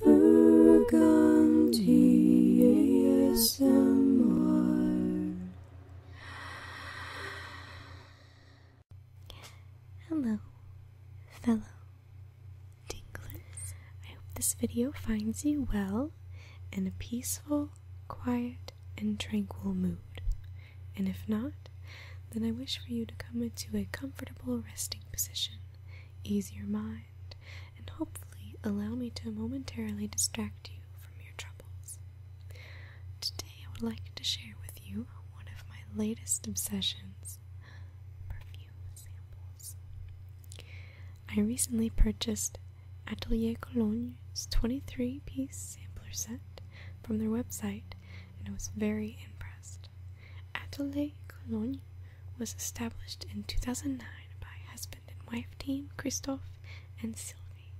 Hello, fellow tinklers. I hope this video finds you well in a peaceful, quiet, and tranquil mood. And if not, then I wish for you to come into a comfortable resting position ease your mind, and hopefully allow me to momentarily distract you from your troubles. Today, I would like to share with you one of my latest obsessions perfume samples. I recently purchased Atelier Cologne's 23 piece sampler set from their website, and I was very impressed. Atelier Cologne was established in 2009 by husband and wife team Christophe and Sylvie.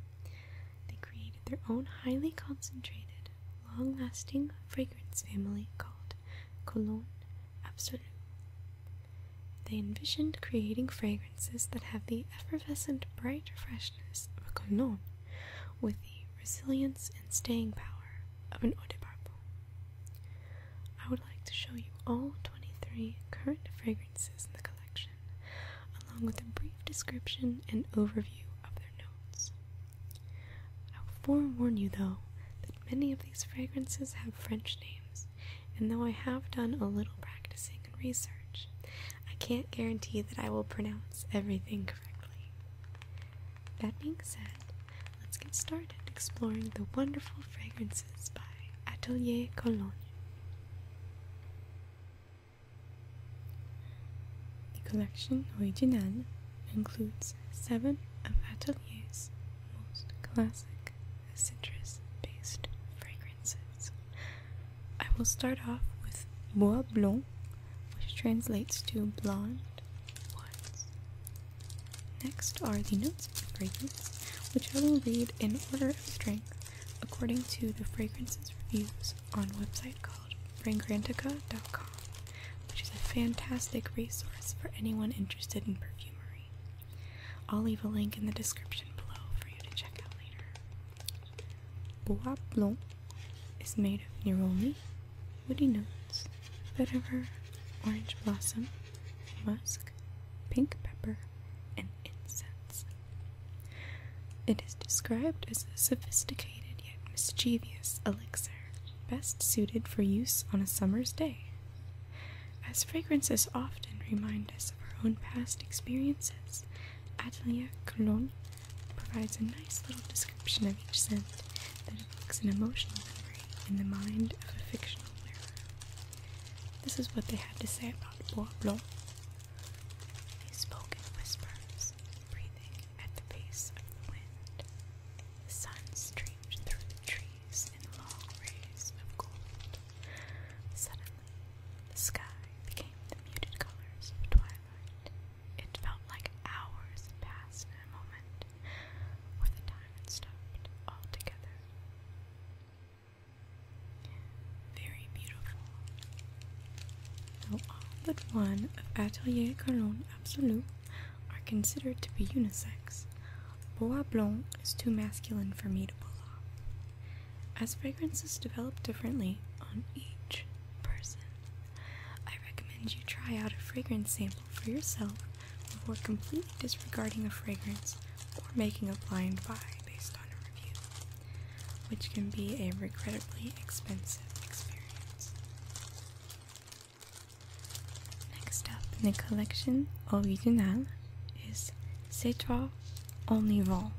They created their own highly concentrated, long lasting fragrance family called Cologne Absolue. They envisioned creating fragrances that have the effervescent, bright freshness of a cologne with the resilience and staying power of an eau de parfum. I would like to show you all 23 current fragrances in the collection, along with a brief description and overview of their notes. I will forewarn you, though, that many of these fragrances have French names, and though I have done a little practicing and research, I can't guarantee that I will pronounce everything correctly. That being said, let's get started exploring the wonderful fragrances by Atelier Cologne. The collection original includes seven of Atelier's most classic citrus based fragrances. I will start off with Bois Blanc, which translates to blonde woods. Next are the notes of the fragrance, which I will read in order of strength according to the fragrances reviews on website called fragrantica.com, which is a fantastic resource for anyone interested in perfumery. I'll leave a link in the description below for you to check out later. Bois Blanc is made of neroli, Woody notes, vetiver, orange blossom, musk, pink pepper, and incense. It is described as a sophisticated yet mischievous elixir, best suited for use on a summer's day. As fragrances often remind us of our own past experiences, Adelia Cologne provides a nice little description of each scent evoques an emotional memory in the mind of a fictional narrator. This is what they had to say about Bois Blanc. He spoke in whispers, breathing at the pace of the wind. The sun streamed through the trees in long rays of gold. Suddenly, the sky became the muted colors of twilight. It felt like hours passed in a moment or the time it stopped altogether. Very beautiful. Though all but one of Atelier Cologne Absolu are considered to be unisex, Bois Blanc is too masculine for me to pull off. As fragrances develop differently on each person, I recommend you try out a fragrance sample for yourself before completely disregarding a fragrance or making a blind buy based on a review, which can be a regrettably expensive experience. Next up in the collection original is Citra Omnivore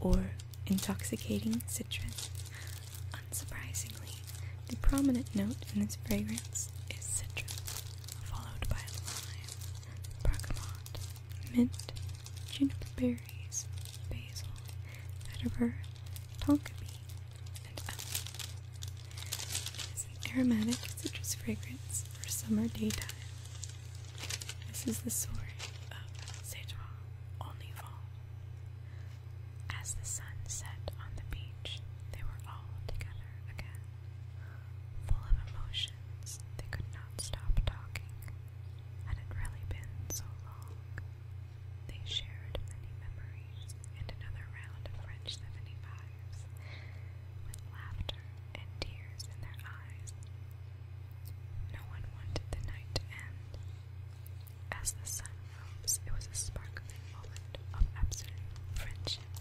or Intoxicating Citrus Unsurprisingly, the prominent note in this fragrance is citrus, followed by lime, bergamot, mint, juniper berries, basil, vetiver, tonka bean, and others. It is an aromatic citrus fragrance for summer daytime. This is the story of sativa only as the sun set on the beach, they were all together again. Full of emotions, they could not stop talking. Had it really been so long? They shared many memories and another round of French 75s, with laughter and tears in their eyes. No one wanted the night to end. As the sun rose, it was a spark of sparkling moment of absolute friendship.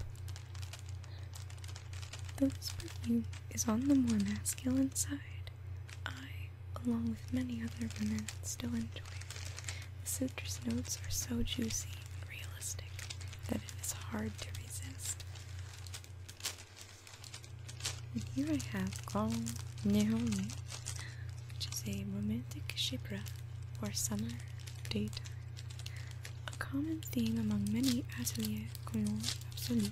this perfume is on the more masculine side, I, along with many other women, still enjoy it. The citrus notes are so juicy and realistic that it is hard to resist. And here I have Carl Nihoni, which is a romantic shipwreck or summer date. A common theme among many atelier colons absolus,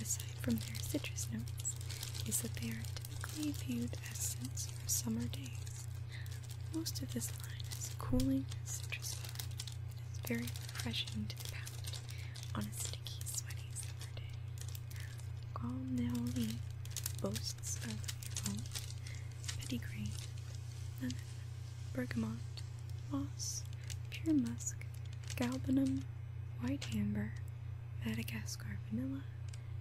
aside from their citrus notes, is that they are typically viewed as scents for summer days. Most of this line is a cooling citrus flavor. It is very refreshing to the palate on a sticky, sweaty summer day. Galneoli boasts bursts of bergamot, moss, pure musk, galbanum, white amber, Madagascar vanilla,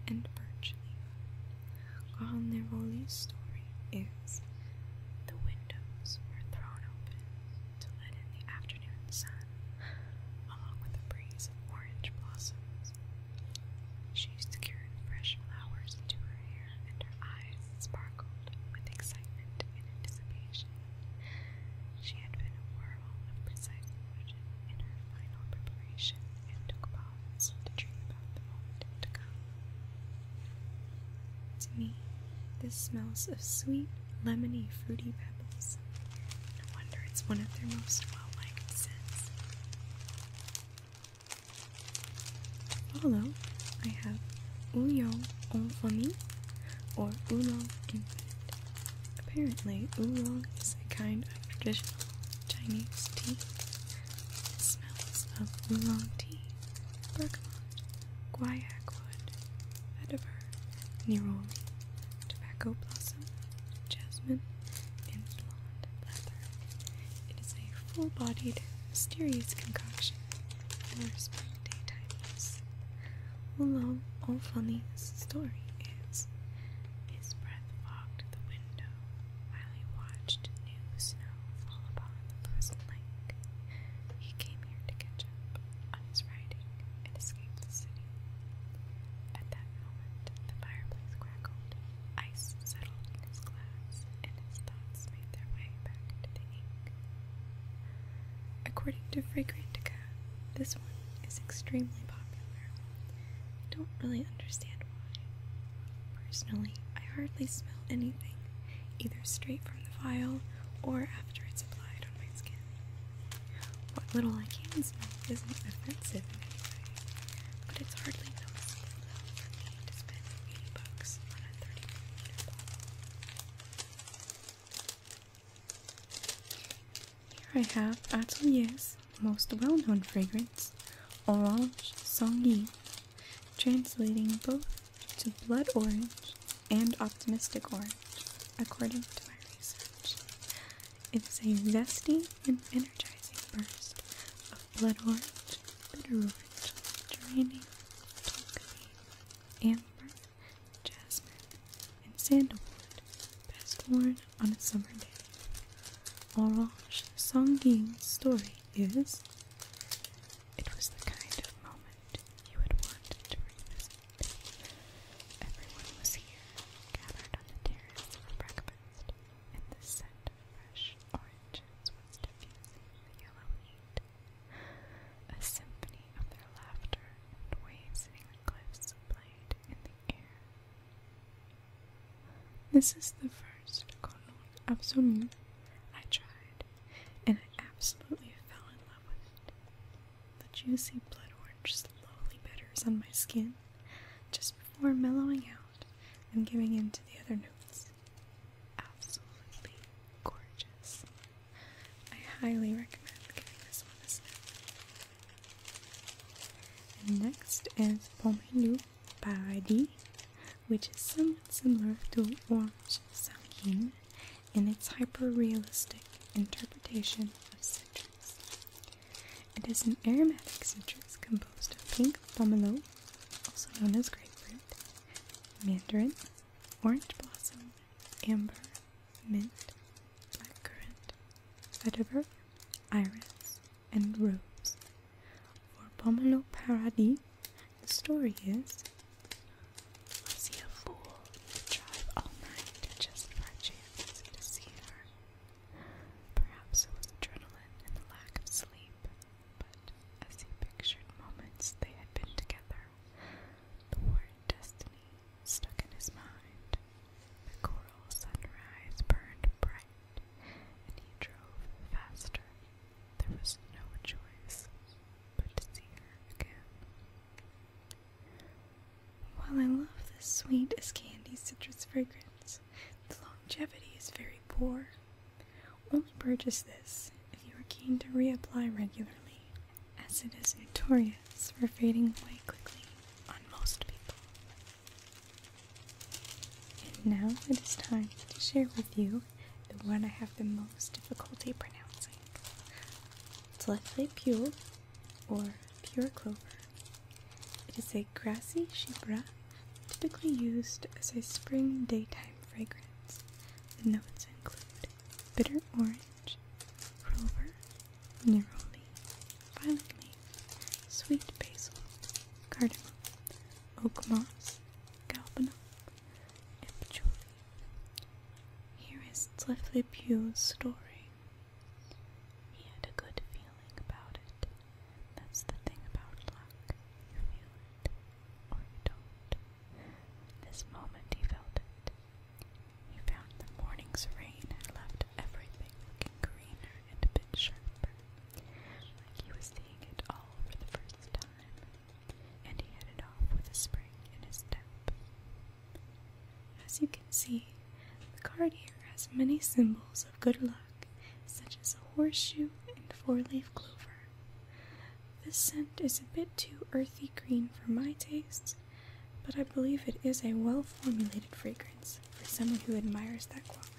and birch leaf. Carnivoli's story is the windows were thrown open to let in the afternoon sun, along with a breeze of orange blossoms she secured fresh flowers into her hair, and her eyes sparkled with excitement and anticipation. She had been a whirl of precise motion in her final preparation and took pause to dream about the moment to come. To me, this smells of sweet, lemony, fruity pebbles. No wonder it's one of their most well liked scents. Although I have oolong, en famille or oolong. in food. Apparently, oolong is a kind of traditional Chinese tea. It smells of oolong tea, bergamot, guaiac wood, vetiver, neroli, tobacco blossom, jasmine, and blonde leather. It is a full-bodied, mysterious concoction for spring daytimeness. Although old Funny's story is his breath fogged the window while he watched new snow fall upon the pleasant lake. He came here to catch up on his riding and escape the city. At that moment, the fireplace crackled Ice settled in his glass, and his thoughts made their way back to the ink. According to Fragrantica, this one is extremely popular. I don't really understand why. Personally, I hardly smell anything, either straight from the vial or after it's applied on my skin. What little I can smell isn't offensive in any way, but it's hardly noticeable. Here I have Atelier's most well-known fragrance, Orange Sanguine, translating both to blood orange and optimistic orange, according to my research. It is a zesty and energizing burst of blood orange, bitter orange, geranium, tulkami, amber, jasmine, and sandalwood, best worn on a summer day. Orange Songying's story is it was the kind of moment you would want to revisit. Everyone was here, gathered on the terrace for breakfast, and the scent a symphony of their laughter and waves hitting the cliffs played in the air. This is the first Colon Absolute I tried, and I absolutely fell in love with it. The juicy blood orange slowly bitters on my skin just before mellowing out. I'm giving in to the other notes. Absolutely gorgeous. I highly recommend giving this one a sniff. next is Pomme Paradis, which is somewhat similar to Orange Sanguine in its hyper realistic interpretation of citrus. It is an aromatic citrus composed of pink pomelo, also known as grapefruit, mandarin, orange blossom, amber, mint, blackcurrant, vetiver, iris, and rose. For pomelo paradis, the story is I see a fool drive all night just for chance to see her. Perhaps it was adrenaline and the lack of sleep, but as he pictured moments they had been together, the word destiny stuck in his mind. The coral sunrise burned bright, and he drove faster. There was no choice but to see her again. While I love this sweet as candy citrus fragrance, the longevity is very poor. Only purchase this if you are keen to reapply regularly, as it is notorious for fading away quickly on most people. And now it is time to share with you the one I have the most difficulty pronouncing. it's Tlethle Pule, or pure clover, it is a grassy chypre, typically used as a spring daytime fragrance. The notes include bitter orange, clover, neroli, violet leaf, sweet basil, cardamom, oak moss, galbanum, and patchouli. Here is Tlethlepew's story. He had a good feeling about it. That's the thing about luck. You feel it, or you don't. This moment he felt it. He found the morning's rain had left everything looking greener and a bit sharper, like he was seeing it all for the first time. And he headed off with a spring in his step. As you can see, the card here has many symbols of good luck, such as a horseshoe and four leaf clover. This scent is a bit too earthy green for my taste, but I believe it is a well formulated fragrance for someone who admires that quality.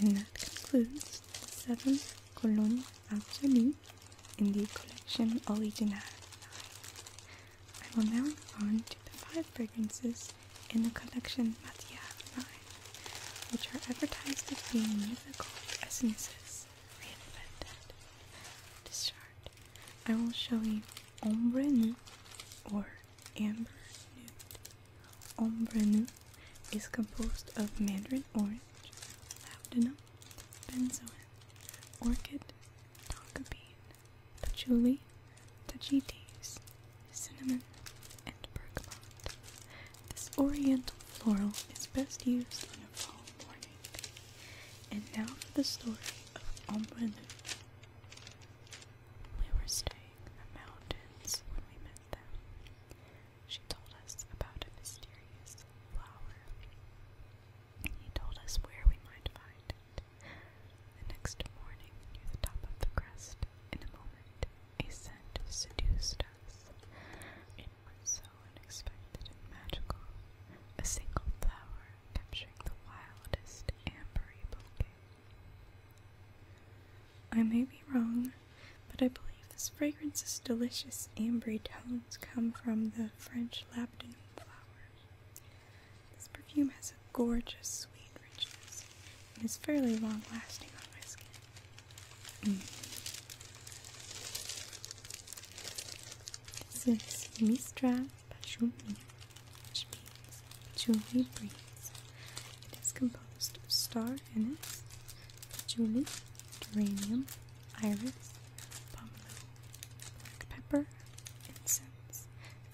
And that concludes the seventh Cologne Absolue in the collection Original. I will now move on to the five fragrances in the collection Matiave 9, which are advertised as being musical essences reinvented. To start, I will show you Ombre Nude or Amber Nude. Ombre Nude is composed of mandarin orange, labdanum, benzoin, orchid, tonka bean, patchouli, tajites, cinnamon, and bergamot. This oriental floral is best used on a fall morning. And now for the story of Ombrelou. We were staying the mountains when we met them. She told us about a mysterious flower. He told us where we might find it. The next morning, near the top of the crest, in a moment, a scent seduced us. It was so unexpected and magical. A single flower capturing the wildest ambery bouquet. I may be wrong, but I believe this fragrance's delicious ambery tones come from the French labdanum flower. This perfume has a gorgeous sweet richness and is fairly long lasting on my skin. Mm. This is Mistra Pachumi, which means Julie Breeze. It is composed of star anise, patchouli, geranium, iris, pomelo, black pepper, incense,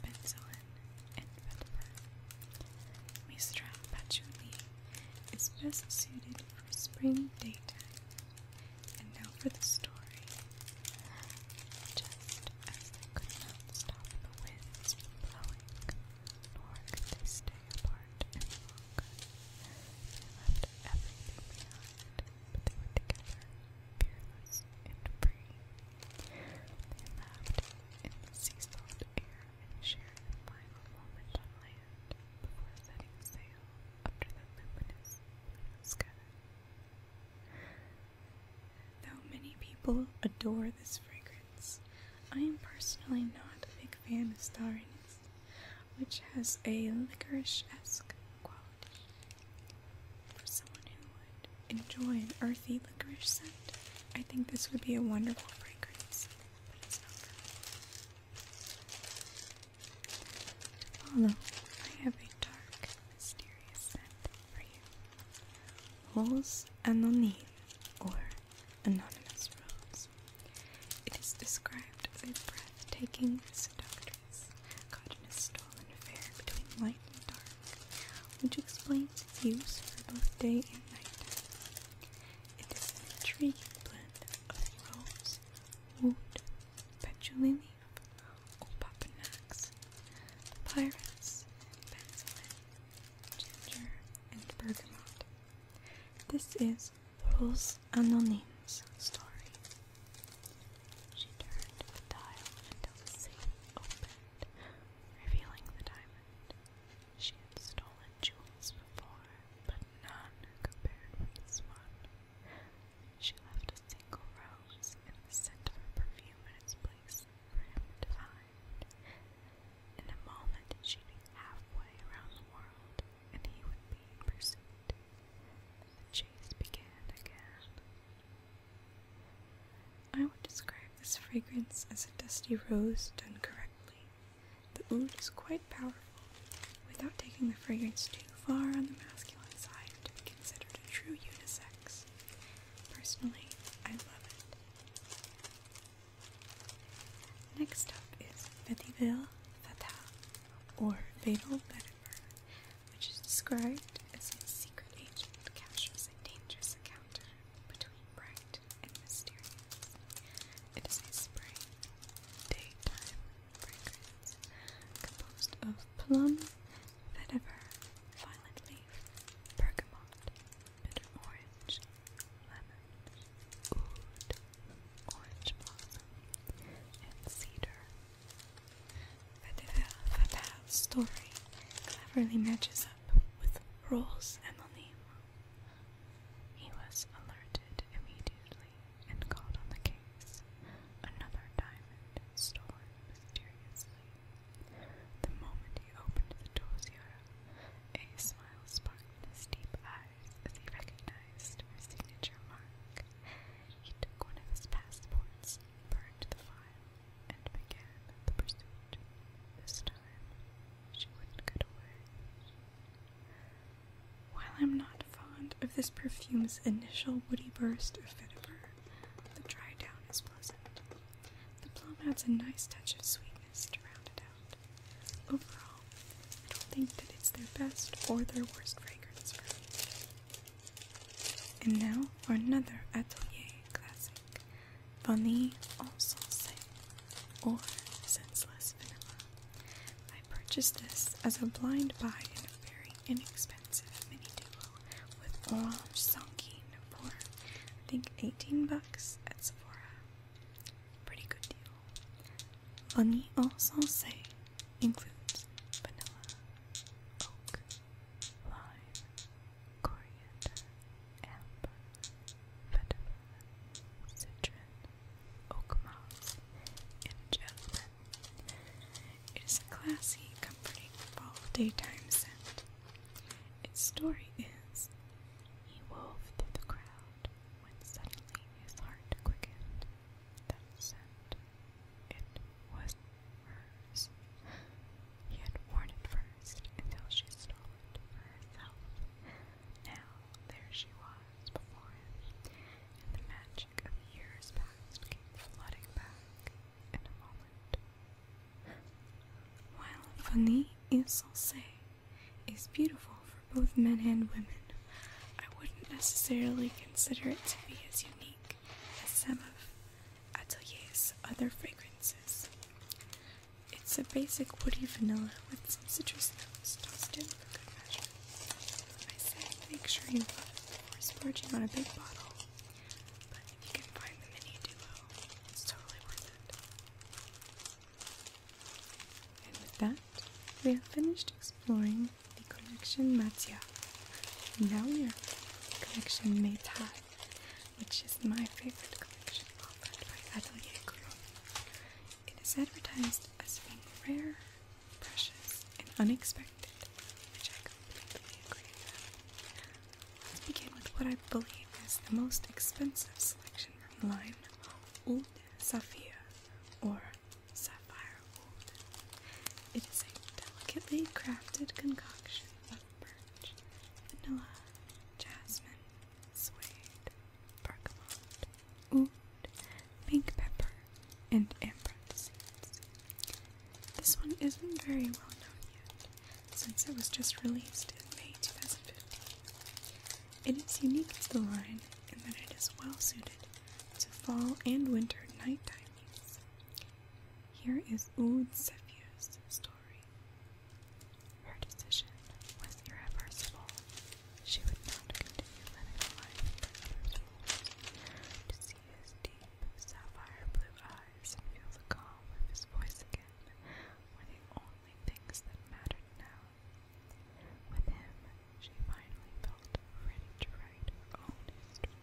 penicillin, and is best suited for spring daytime. And now for the story. Just as could not stop the winds blowing, nor could they stay apart any longer, they left everything behind but they were together, fearless and free. They laughed in the sea-salt air and shared the final moment on land before setting sail under the luminous blue sky. Though many people adore this fragrance, I am personally not a big fan of stariness, which has a licorice-esque quality. For someone who would enjoy an earthy licorice scent, I think this would be a wonderful fragrance, but it's I have a dark, mysterious scent for you. Rose Anonyme, or Anonymous Rose. It is described as a breathtaking, seductive darkness. Cotton is tall fair between light and dark, which explains its use for both day and night. It is an intriguing blend of rose, wood, patchouli leaf, opopanax, papyrus, benzoin, ginger, and bergamot. This is Rose Anonyme's story. She turned the dial until the safe opened, revealing the diamond. She had stolen jewels before, but none compared with this one. She left a single rose and the scent of her perfume in its place for him to find. In a moment, she'd be halfway around the world, and he would be in pursuit. The chase began again. I would describe this fragrance as a dusty rose done correctly. The oud is quite powerful, without taking the fragrance too far on the masculine side to be considered a true unisex. Personally, I love it. Next up is Vetiville Fata, or Fatal Letter which is described as a secret agent captures a dangerous encounter between bright and mysterious. It is a spring daytime fragrance composed of plum, vetiver, violet leaf, bergamot, bitter orange, lemon, oud, orange blossom, and cedar Fatah's story cleverly matches up with Roll's Emily. He was alerted immediately and called on the case. Another diamond stolen mysteriously. The moment he opened the dossier, a smile sparkled in his deep eyes as he recognized her signature mark. He took one of his passports and burned the and began the pursuit. This time, she wouldn't get away. While I'm not fond of this perfume's initial woody burst of vetiver, the dry down is pleasant. The plum adds a nice touch of sweetness to round it out. Overall, I don't think that it's their best or their worst fragrance for me. And now for another Atelier classic, bunny also say or Senseless Vanilla. I purchased this as a blind buy in a very inexpensive mini duo with orange sankin for, I think, 18 bucks at Sephora. Pretty good deal. Vanille en Salsa includes vanilla, oak, lime, coriander, amber, vetiver, citron, oak moss, and jasmine. It is a classy, comforting fall daytime scent. Its story is he wove through the crowd when suddenly his heart quickened. That scent it was hers. He had worn it first until she stole it for herself. Now there she was before him, and the magic of years past came flooding back in a moment. While Fanny Isancee is beautiful for both men and women, I wouldn't necessarily consider it to be as unique unique as of Atelier's other fragrances. It's a basic woody vanilla with some citrus notes dusted with a good measure. I say make sure you love it before splurging on a big bottle, but if you can find the mini duo, it's totally worth it. And with that, we have finished exploring the collection Matia. Now we are collection Meitai, which is my favorite collection by Atelier It is advertised as being rare, precious, and unexpected, which I completely agree with. Let's begin with what I believe is the most expensive selection from the line, Old Sapphire, or Sapphire it is a delicately crafted concoction of birch, vanilla, jasmine, suede, bergamot, oud, pink pepper, and amber seeds. This one isn't very well known yet, since it was just released in May 2015. It is unique to the line in that it is well suited to fall and winter nighttime use. Here is Ood Sephu's story. Her decision was irreversible. She would not continue living a life that others ruled. To see his deep sapphire blue eyes and feel the calm of his voice again were the only things that mattered now. With him, she finally felt ready to write her own history.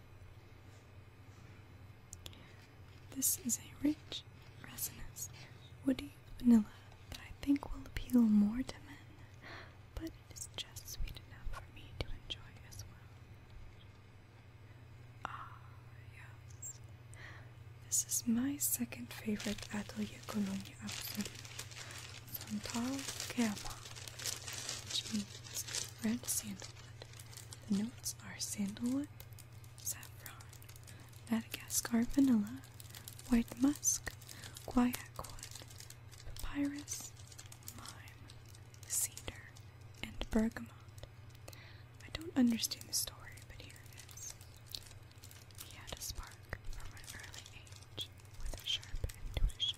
This is a rich, resinous, woody vanilla that I think will appeal more to men, but it is just sweet enough for me to enjoy as well. Ah, yes. This is my second favorite Atelier Cologne Absolute, Santal Kerma, which means red sandal. The notes are sandalwood, saffron, Madagascar vanilla, white musk, guaiac wood, papyrus, lime, cedar, and bergamot. I don't understand the story, but here it is. He had a spark from an early age with a sharp intuition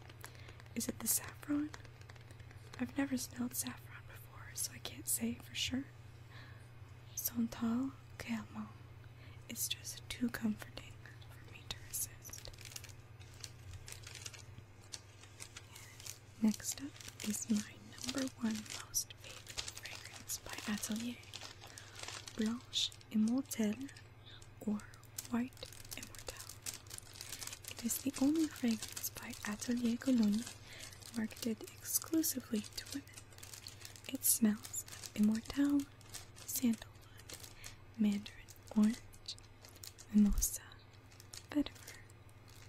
Is it the saffron? I've never smelled saffron before, so I can't say for sure. Santal Calmon. It's just too comforting for me to resist. Next up is my number one most favorite fragrance by Atelier Blanche Immortelle or White Immortelle. It is the only fragrance by Atelier Cologne marketed exclusively to women. It smells of Immortelle, sandalwood, mandarin orange, mimosa, vetiver,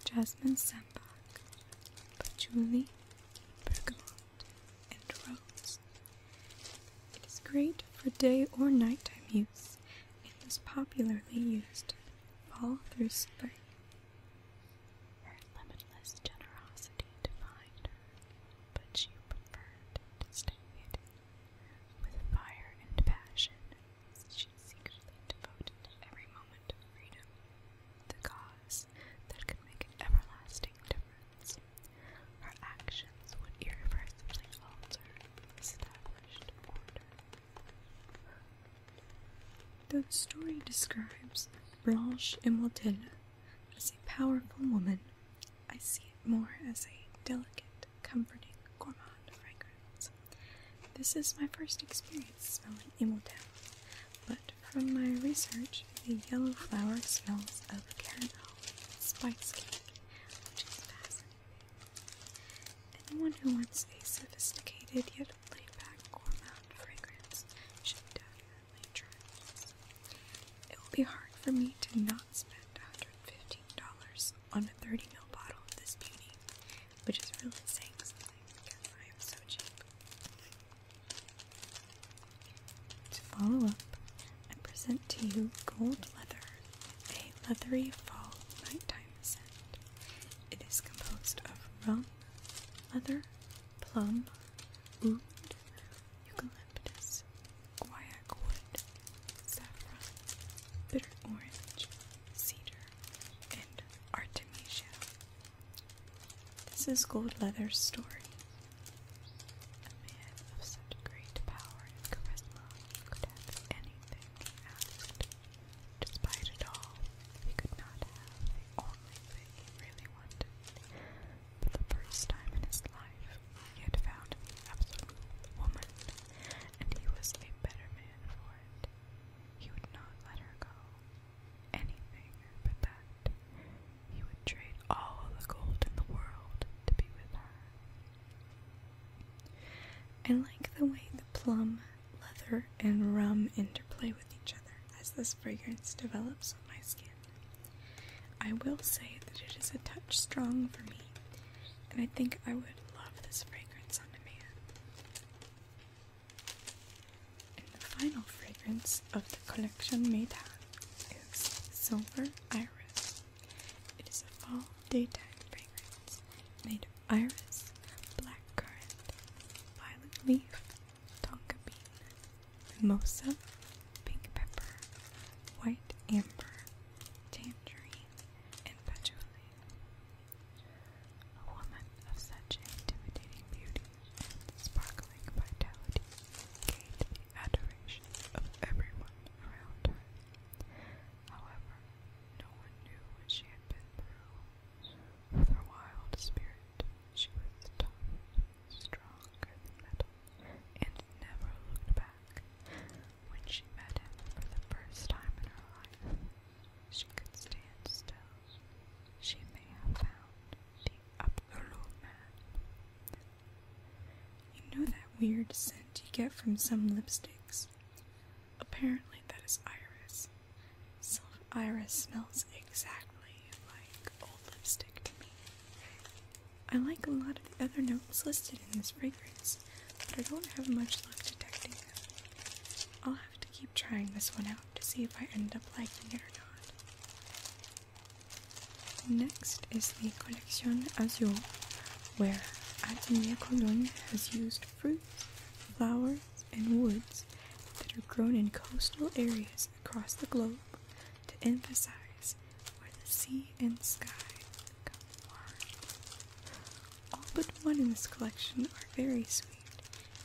jasmine Sandalwood, patchouli, bergamot, and rose. It is great for day or nighttime it was popularly used all through spring. Her limitless generosity defined her, but she preferred to stay hidden. With fire and passion, she secretly devoted every moment to the cause that could make everlasting difference. Her actions would irreversibly alter his polished the story describes Blanche Immortelle as a powerful woman, I see it more as a delicate, comforting gourmand fragrance. This is my first experience smelling Immortelle, but from my research, the yellow flower smells of caramel spice cake, which is fascinating. Anyone who wants a sophisticated yet laid-back gourmand fragrance should definitely try this. It will be hard for me to not spend $115 on a 30ml bottle of this beauty, which is really saying something because I am so cheap. To follow up, I present to you Gold Leather, a leathery fall nighttime scent. It is composed of rum, leather, plum, oud, eucalyptus, guaiac wood, saffron, bitter orange, cedar, and artemisia. This is Gold Leather's story. A man of such great power and charisma could have anything he asked. Despite it all, he could not have the only thing he really wanted. For the first time in his life, he had found the absolute woman, and he was a better man for it. He would not let her go. Anything but that. He would trade all the gold in the world to be with her. I like the way the plum, leather, and rum interplay with each other as this fragrance develops on my skin. I will say that it is a touch strong for me, and I think I would love this fragrance on demand. And the final fragrance of the collection Meta is Silver Iris. It is a fall daytime fragrance made of iris, black currant, violet leaf, tonka bean, mimosa, pink pepper, white amber, tangerine, and patchouli. A woman of such intimidating beauty and sparkling vitality gained the adoration of everyone around her. However, no one knew what she had been through. With her wild spirit, she was tough, stronger than metal, and never looked back. When she met him for the first time in her life, she could stand still. She may have found the absolute man, you know that weird scent you get from some lipsticks? Apparently, that is iris. Silver iris smells exactly like old lipstick to me. I like a lot of the other notes listed in this fragrance, but I don't have much luck detecting them. I'll have to keep trying this one out to see if I end up liking it or not. Next is the Colección Azul, where Atelier Cologne has used fruits, flowers, and woods that are grown in coastal areas across the globe to emphasize where the sea and sky come apart. All but one in this collection are very sweet,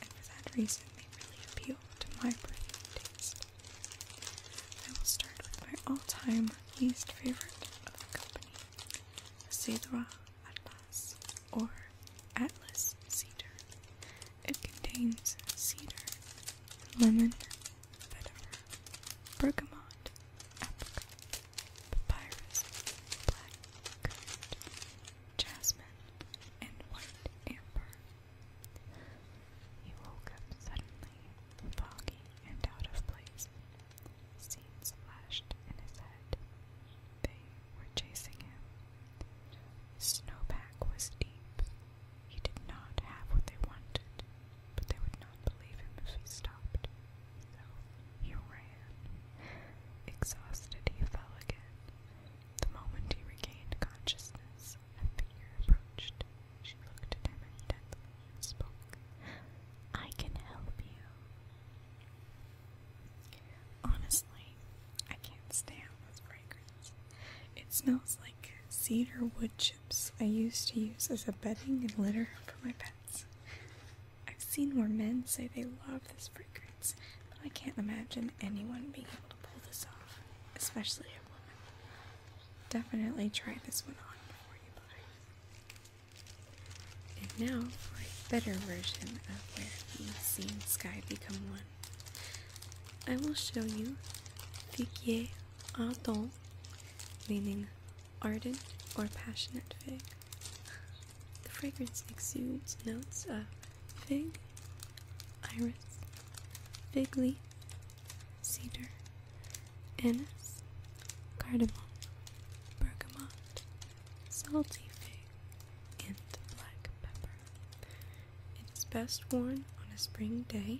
and for that reason they really appeal to my personal taste. I will start with my all-time least favorite of the company, Cedra Atlas, or Atlas Cedar. It contains cedar, lemon, vetiver, bergamot, apricot, papyrus, black currant, jasmine, and white amber. He woke up suddenly, foggy and out of place. Seeds flashed in his head. They were chasing him. snowpack was deep. He did not have what they wanted, but they would not believe him if he stopped. So he ran. Exhausted, he fell again. The moment he regained consciousness, a figure approached. She looked at him intently and spoke. I can help you. Honestly, I can't stand this fragrance. It smells like cedar wood chips I used to use as a bedding and litter for my pets. I've seen where men say they love this fragrance, but I can't imagine anyone being able to pull this off, especially a woman. Definitely try this one on before you buy. And now for a better version of where you sea and sky become one. I will show you figuier ardent, meaning ardent or passionate fig. The fragrance exudes notes of fig, iris, fig leaf, cedar, anise, cardamom, bergamot, salty fig, and black pepper. It is best worn on a spring day.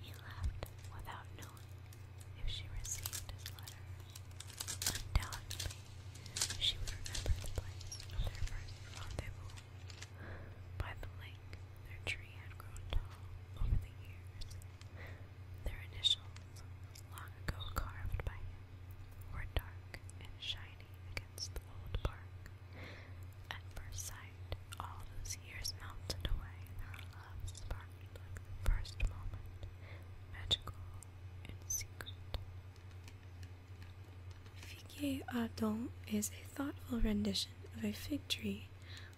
He left without knowing if she received his letter. Undoubtedly, she would remember the place of their first rendezvous by the lake their tree had grown tall over the years. Their initials, long ago carved by him, were dark and shiny against the old bark. At first sight, all those years melted away, and their love sparkled like the first moment, magical and secret. Figue is a thoughtful rendition of a fig tree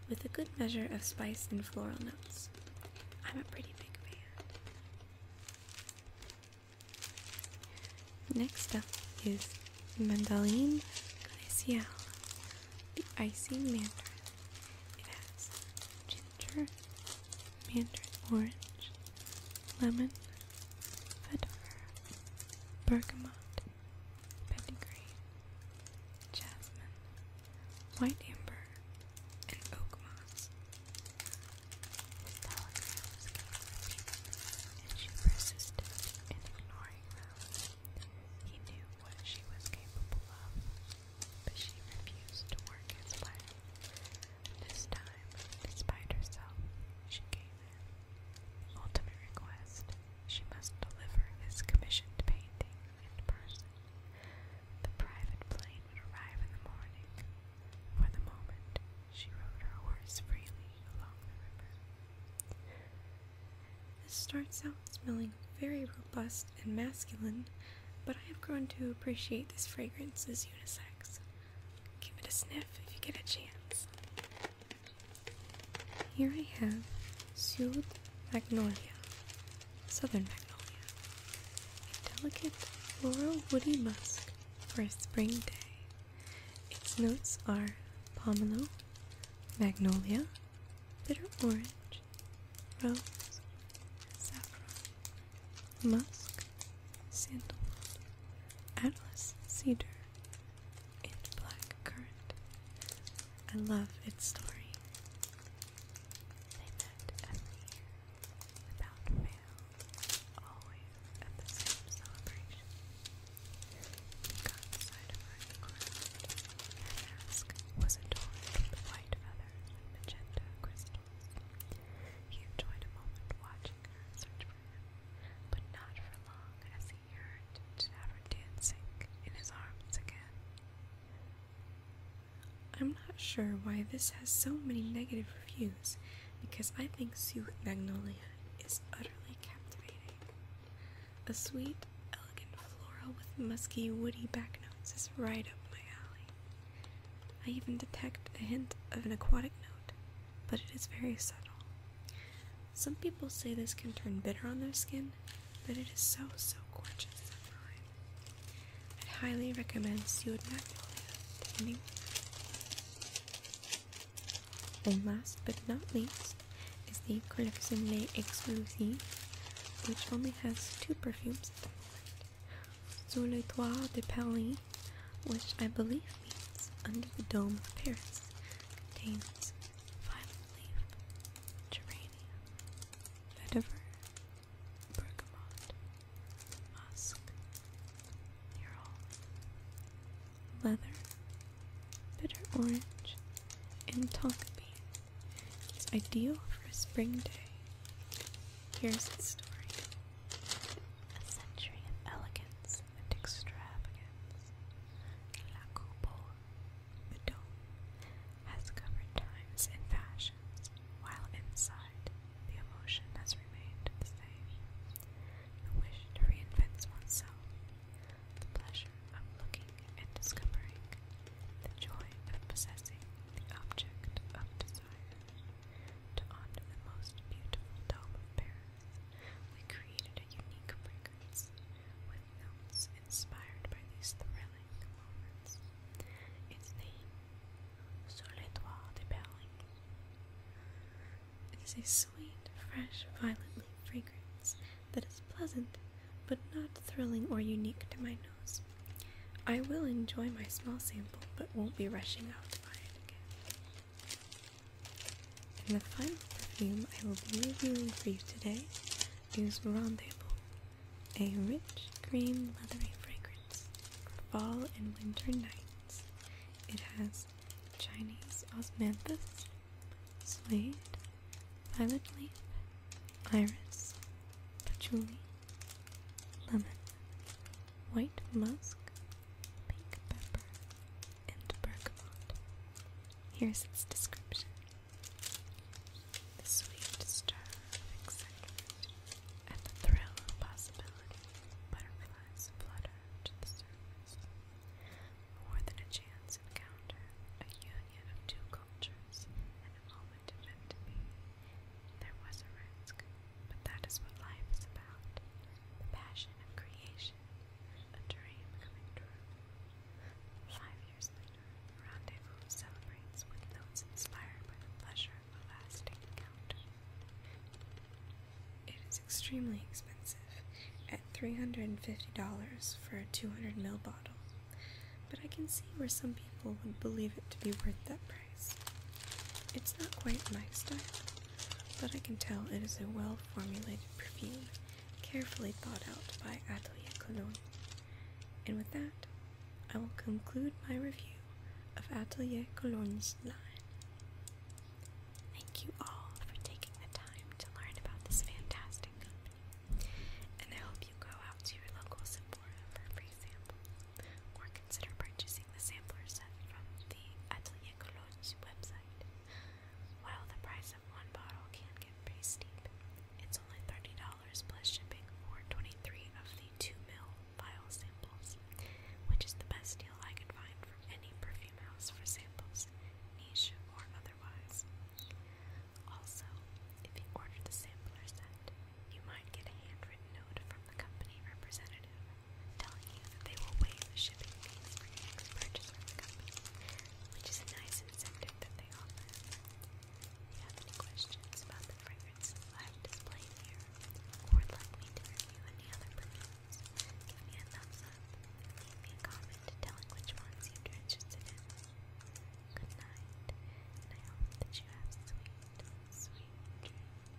with a good measure of spice and floral notes. I'm a pretty big fan. Next up is Mandoline Glacial, the icy mandarin. It has ginger, mandarin orange, lemon, fedora, bergamot, Pedigree, Jasmine, White Amber, and Oak Moss. and she persisted in ignoring them. He knew what she was capable of, but she refused to work his way. This time, despite herself, she gave in. The ultimate request she must deliver his commissioned painting in person. The private plane would arrive in the morning. For the moment, she rode her horse freely along the river. This starts out smelling very robust and masculine, but I have grown to appreciate this fragrance as unisex. Give it a sniff if you get a chance. Here I have Sewed Magnolia, Southern Magnolia, a delicate floral woody musk for a spring day. Its notes are pomelo, magnolia, bitter orange, rose, saffron, musk, sandalwood, atlas cedar, in Blackcurrant. I love its story. They met every year, without fail, always at the same celebration. He got the of her crowned. Her mask was adorned with white feathers and magenta crystals. He enjoyed a moment watching her search for him, but not for long as he he dancing in his arms again. I'm not sure why this has so many negative reviews because I think Sue Magnolia is utterly captivating. The sweet, elegant floral with musky, woody back notes is right up my alley. I even detect a hint of an aquatic note, but it is very subtle. Some people say this can turn bitter on their skin, but it is so, so gorgeous It highly recommends you would not believe it. And last but not least is the Collection Les Exclusives, which only has two perfumes Sous le toit de Paris, which I believe means under the dome of Paris, contains violet leaf, geranium, vetiver, bergamot, musk, mural, leather, bitter orange, and tonka bean. It's ideal for a spring day. Here's the story. A century of elegance and extravagance. La Coupeau the dome has covered times and fashions, while inside the emotion has remained the same. The wish to reinvent oneself, the pleasure of looking and discovering, the joy of possessing the object of desire. To the most beautiful dome of Paris, we created a unique fragrance films inspired by these thrilling moments. Its name, Sur de Berling, is a sweet, fresh violet fragrance that is pleasant but not thrilling or unique to my nose. I will enjoy my small sample but won't be rushing out to buy it again. the final perfume I will be reviewing for you today is Rendezvous a rich green leathery fragrance for fall and winter nights. It has Chinese osmanthus, suede, violet leaf, iris, patchouli, lemon, white musk, pink pepper, and bergamot. Here's its description. The sweet stir of excitement and the thrill of possibility. Butterflies flutter to the surface. More than a chance encounter, a union of two cultures, and a moment meant to There was a risk, but that is what life is about. The passion of creation, a dream coming true years later, rendezvous celebrates with those inspired by the pleasure of lasting encounter. It is extremely expensive, at $350 for a 200 ml bottle, but I can see where some people would believe it to be worth that price. It's not quite my style, but I can tell it is a well formulated perfume carefully thought out by Atelier Cologne. And with that, I will conclude my review of Atelier Cologne's line. Thank you all for taking the time to learn about this fantastic company, and I hope you go out to your local Sephora for a free sample, or consider purchasing the sampler set from the Atelier Cologne website. While the price one bottle can get pretty steep. It's only $30 plus shipping for 23 of the 2 mil vial samples, which is the best deal I could find from any perfume house for samples, niche or otherwise. Also, if you order the sampler set, you might get a handwritten note from the company representative telling you that they will waive the shipping fees for your next purchase from the company, which is a nice insectic that they offer. If you have any questions about the fragrances I've displayed here, or would like me to review any other perfumes, give me a thumbs up, leave me a comment telling which ones you'd be in. Good night, and I hope that you have sweet, sweet dreams.